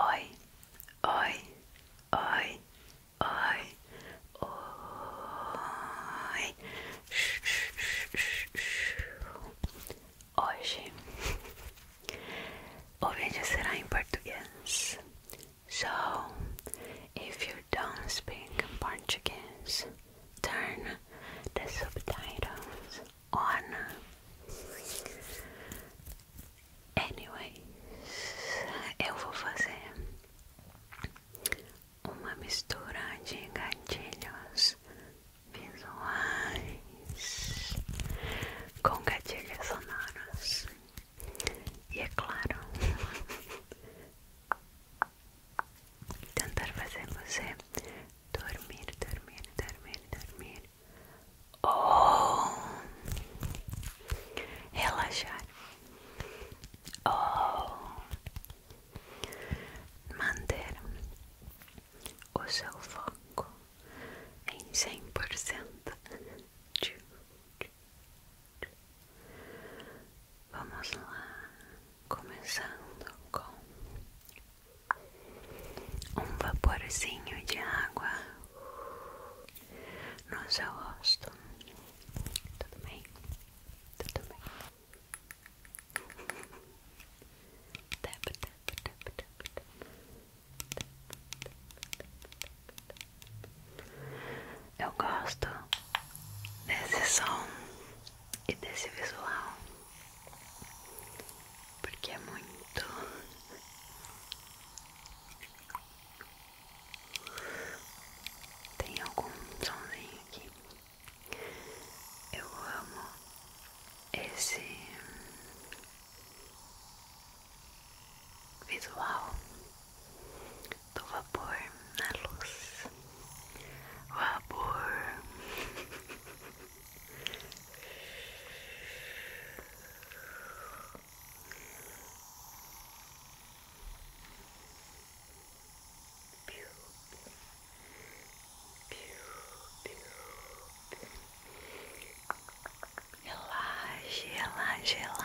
Oi, oi, oi, oi, oi. Hoje o vídeo será em português. So, if you don't speak Portuguese, turn the subtitles on. Anyways, eu vou fazer uma mistura de gatilhos visuais com gatilhos sonoros. E é claro, tentar fazer você dormir, dormir, dormir, dormir ou oh. relaxar ou oh. manter o seu foco em cem por 100%. Vamos lá, começando com um vaporzinho de água no seu gosto Tudo bem? Tudo bem? Tap, tap, tap, tap, tap. Eu gosto desse som e desse visual porque é muito tem algum somzinho aqui eu amo esse visual do vapor na luz vapor Relaxe, relaxe, relaxe. Relaxe, relaxe, relaxe.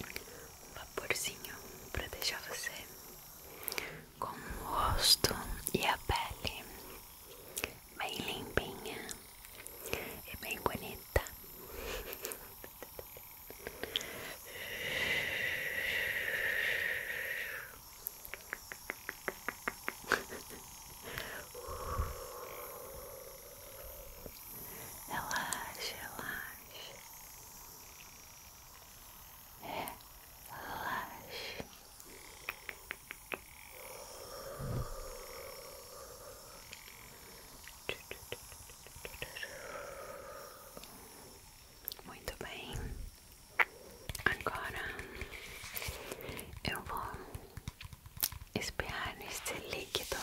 um vaporzinho para deixar você com o rosto e a pele bem limpinha e bem bonita. Relaxa, relaxa. É, relaxa. Muito bem. Agora eu vou espirrar nesse líquido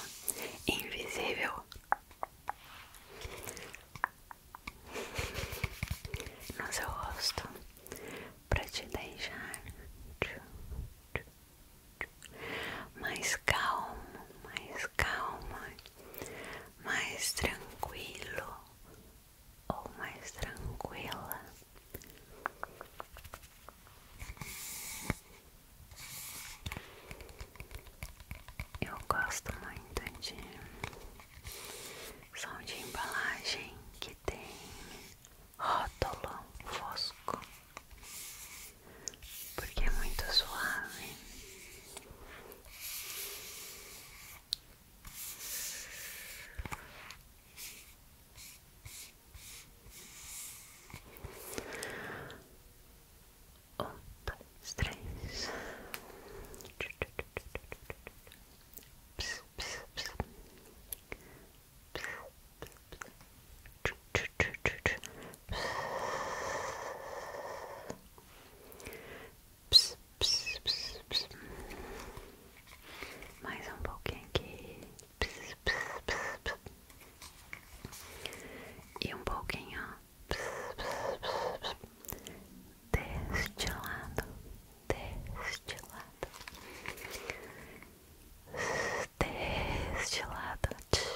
invisível. No seu rosto, para te deixar mais calmo, mais calma, mais tranquilo ou mais tranquila. Eu gosto muito de som de embalagem que tem rótulo fosco, porque é muito suave. Um, dois, três. Mais um pouquinho aqui. pss, pss, pss, pss. e um pouquinho pss, pss, pss, pss. deste lado, deste lado, deste lado. Pss, pss, pss.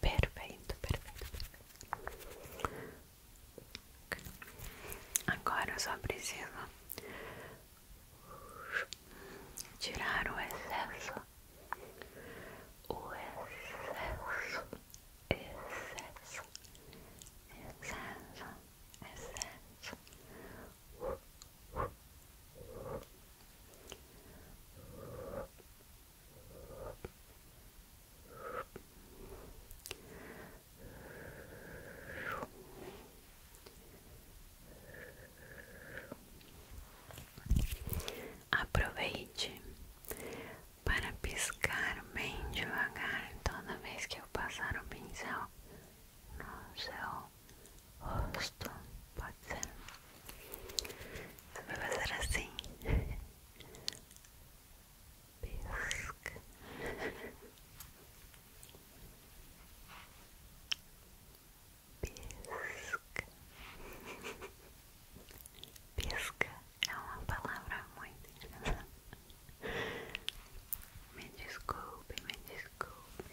Perfeito, perfeito, Agora eu só preciso tirar o excesso, o excesso, excesso, excesso, excesso. Aproveite para piscar bem devagar toda vez que eu passar o pincel no céu rosto, pode ser? Eu vou fazer assim Pesca Pesca Pesca é uma palavra muito engraçada Me desculpe, me desculpe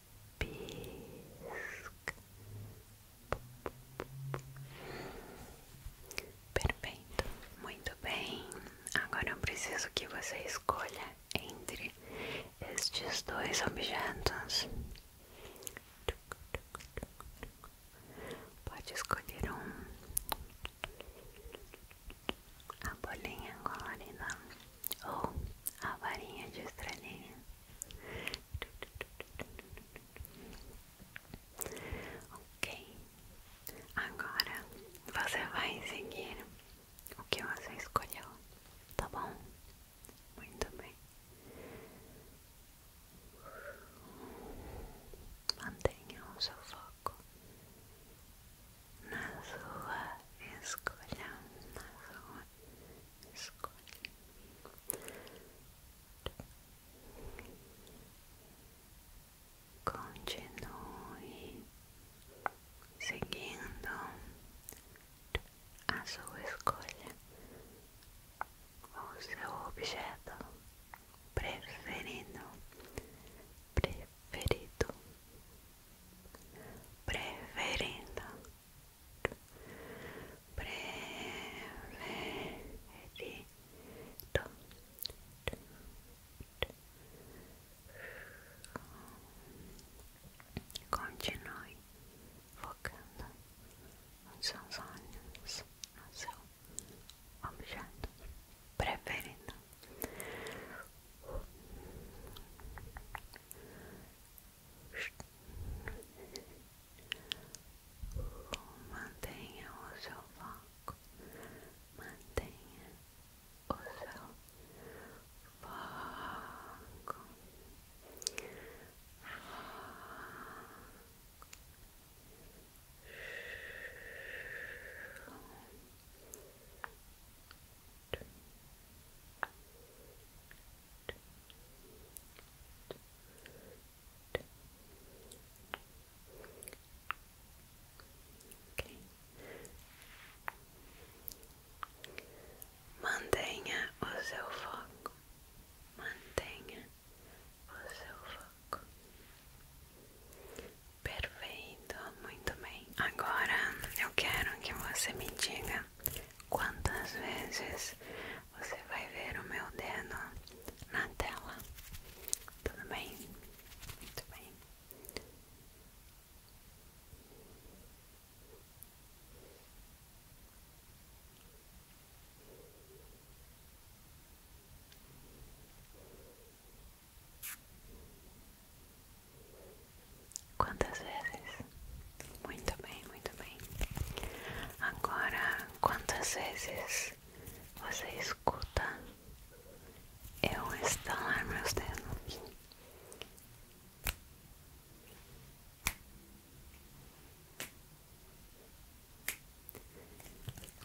pisca. Perfeito, muito bem. Agora eu preciso que você escolha entre estes dois objetos. Pode escolher um. A bolinha colorida ou a varinha de estrelinha. Ok, agora você vai seguir o que você escolheu, tá bom? Muito bem. Mantenha o seu foco na sua escolha, na sua escolhe continue seguindo a sua escolha o seu objeto preferido preferido preferindo preferido Continue focando os seus olhos no seu objeto preferido. Mantenha o seu foco, mantenha o seu foco. Mantenha o seu foco, mantenha o seu foco. Perfeito, muito bem. Agora eu quero que você me diga quantas vezes você vai ver o meu dedo na tela. Tudo bem? Muito bem. Quantas vezes? Muito bem, muito bem. Agora, quantas vezes você escuta eu estalar meus dedos?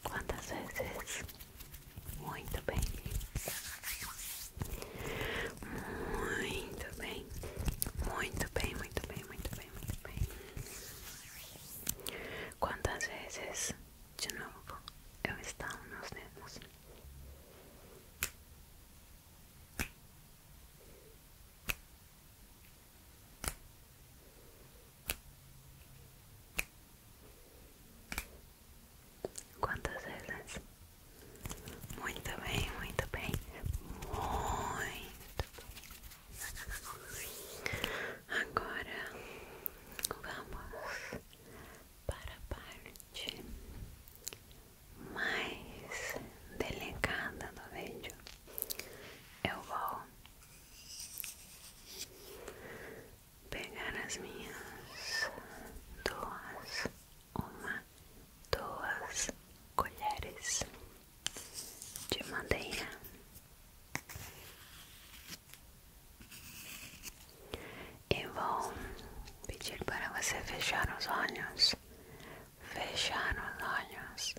Quantas vezes? Muito bem. Muito bem. Muito bem, muito bem, muito ¿Cuántas veces de nuevo He visto unos dedos? ¿Cuántas veces? Muy bien, muy bien, muy. Agora vamos para a parte mais delicada do vídeo. Eu vou pegar as minhas duas, uma, duas colheres de madeira eu vou pedir para você fechar os olhos, fechar os olhos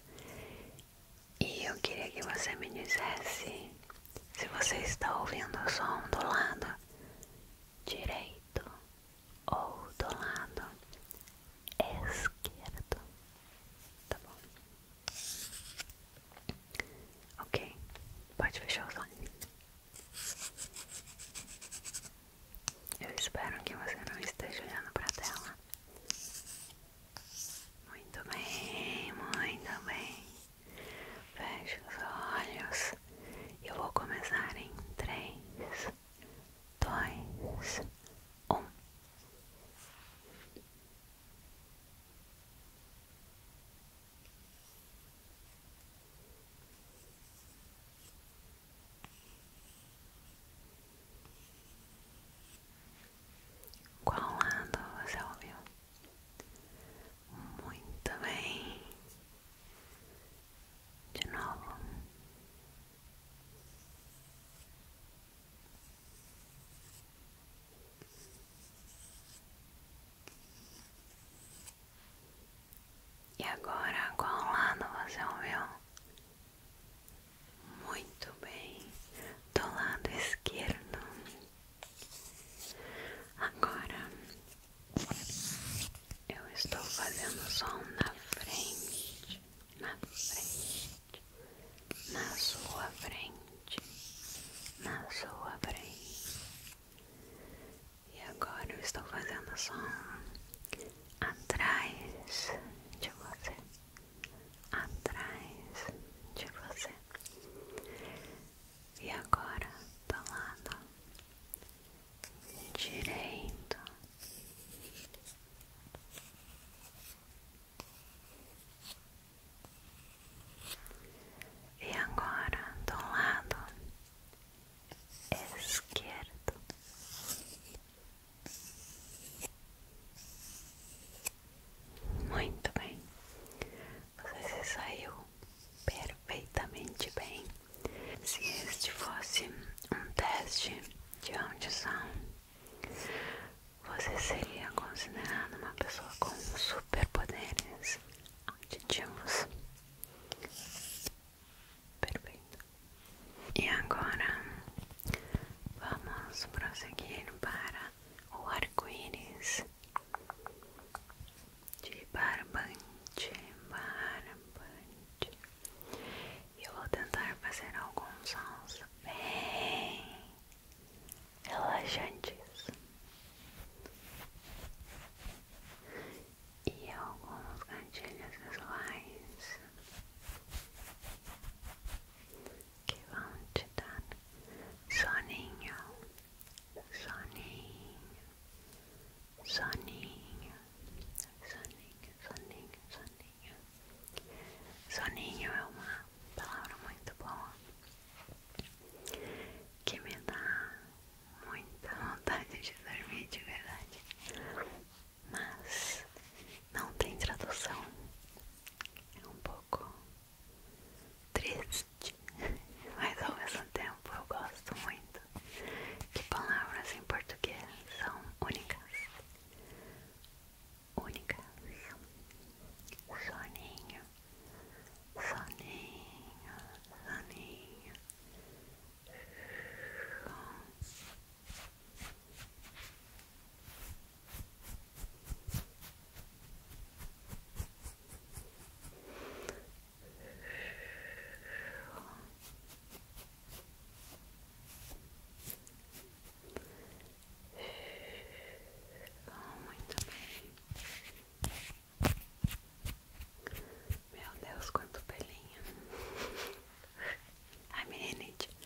e eu queria que você me dissesse se você está ouvindo o som do lado direito ou do lado esquerdo, tá bom? Ok, pode fechar os olhos. Eu espero que você não esteja olhando para a tela. Muito bem, muito bem. Feche os olhos. Eu vou começar em três, dois, um. Qual lado você ouviu? Muito bem. De novo. E agora, qual lado você ouviu? Muito bem, do lado esquerdo. Agora eu estou fazendo som na frente, na frente na sua frente, na sua frente. E agora eu estou fazendo som atrás de você, atrás de você. E agora do lado direito e agora do lado esquerdo. Muito bem. Você saiu perfeitamente bem. Se este fosse um teste de audição, você seria considerado uma pessoa com superpoderes auditivos. Perfeito. E agora vamos prosseguir para o arco-íris de barbante, barbante. E eu vou tentar fazer alguns sons bem relaxantes e alguns gatilhos visuais que vão te dar soninho, soninho, soninho, soninho, soninho, soninho soninho. é uma palavra muito boa que me dá muita vontade de dormir de verdade, mas não tem tradução. É um pouco triste, mas ao mesmo tempo eu gosto muito que palavras em português são únicas única. Soninho, soninho, soninho. Soninho. Muito bem. Meu Deus, quanto pelinho. Ai, meninite. Muito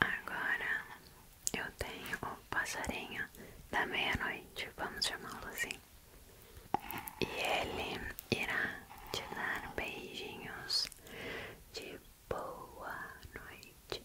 Agora eu tenho o passarinho da meia-noite. Vamos chamá-lo assim. E ele irá te dar beijinhos de boa noite.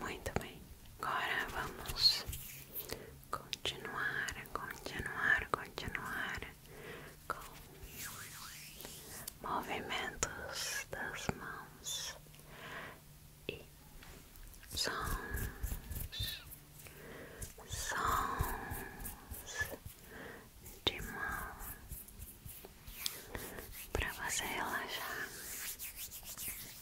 Muito bem, agora vamos continuar, continuar, continuar com movimentos das mãos e sons, sons de mão para você relaxar.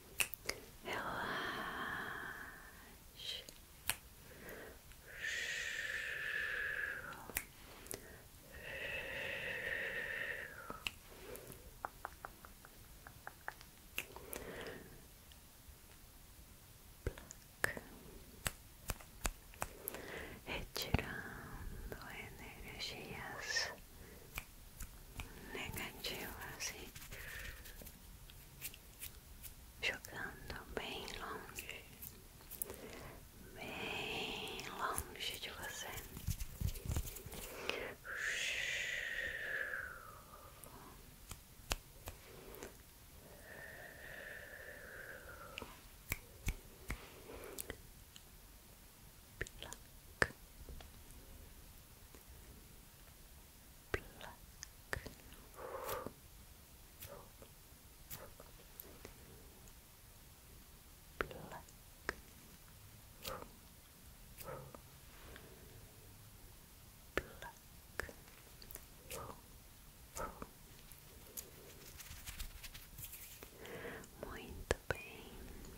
relaxe. Retirando energias negativas e jogando bem longe, bem longe de você. Pluck. Pluck. Pluck. Muito bem, muito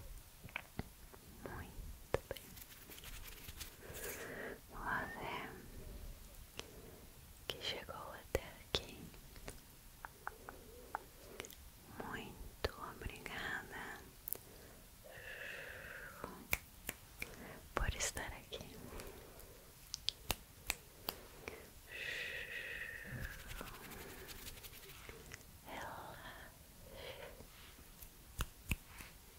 bem um é. que chegou até aqui. Muito obrigada por estar aqui.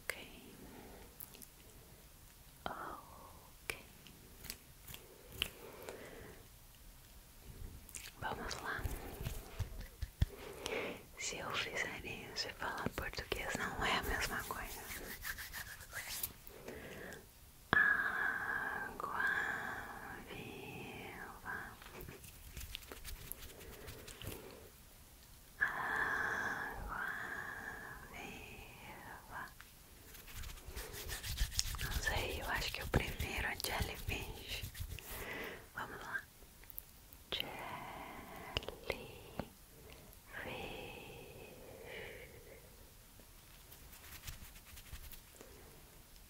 Ok, ok, vamos lá. Se eu fizer isso e falar português, não é a mesma coisa. Água, salvar. Água viva. Não sei, eu acho que o primeiro é jellyfish. Vamos lá. Jellyfish. Jellyfish,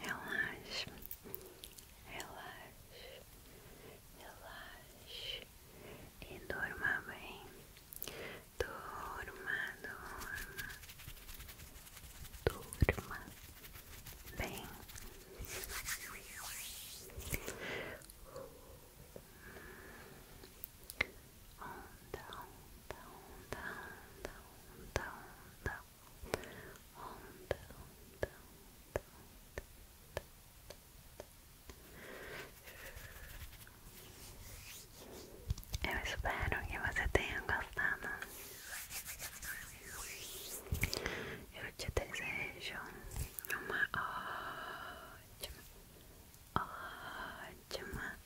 relaxe, relaxe, relaxe e durma bem, durma, durma, durma bem. Eu espero que você tenha gostado. Eu te desejo uma ótima, ótima,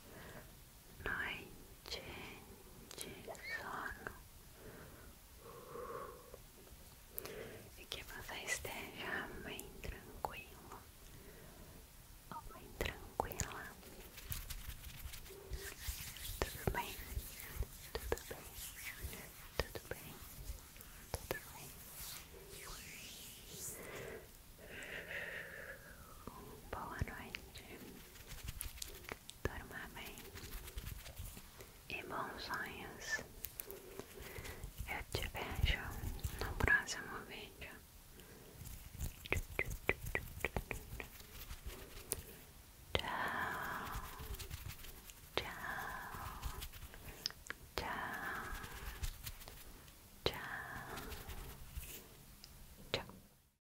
noite de sono e que você esteja bem tranquila, ou bem tranquila. Tudo bem, tudo bem, tudo bem, tudo bem. Boa noite. Dorma bem e bons sonhos. Eu te vejo no próximo vídeo. Tchau, tchau, tchau, tchau, tchau.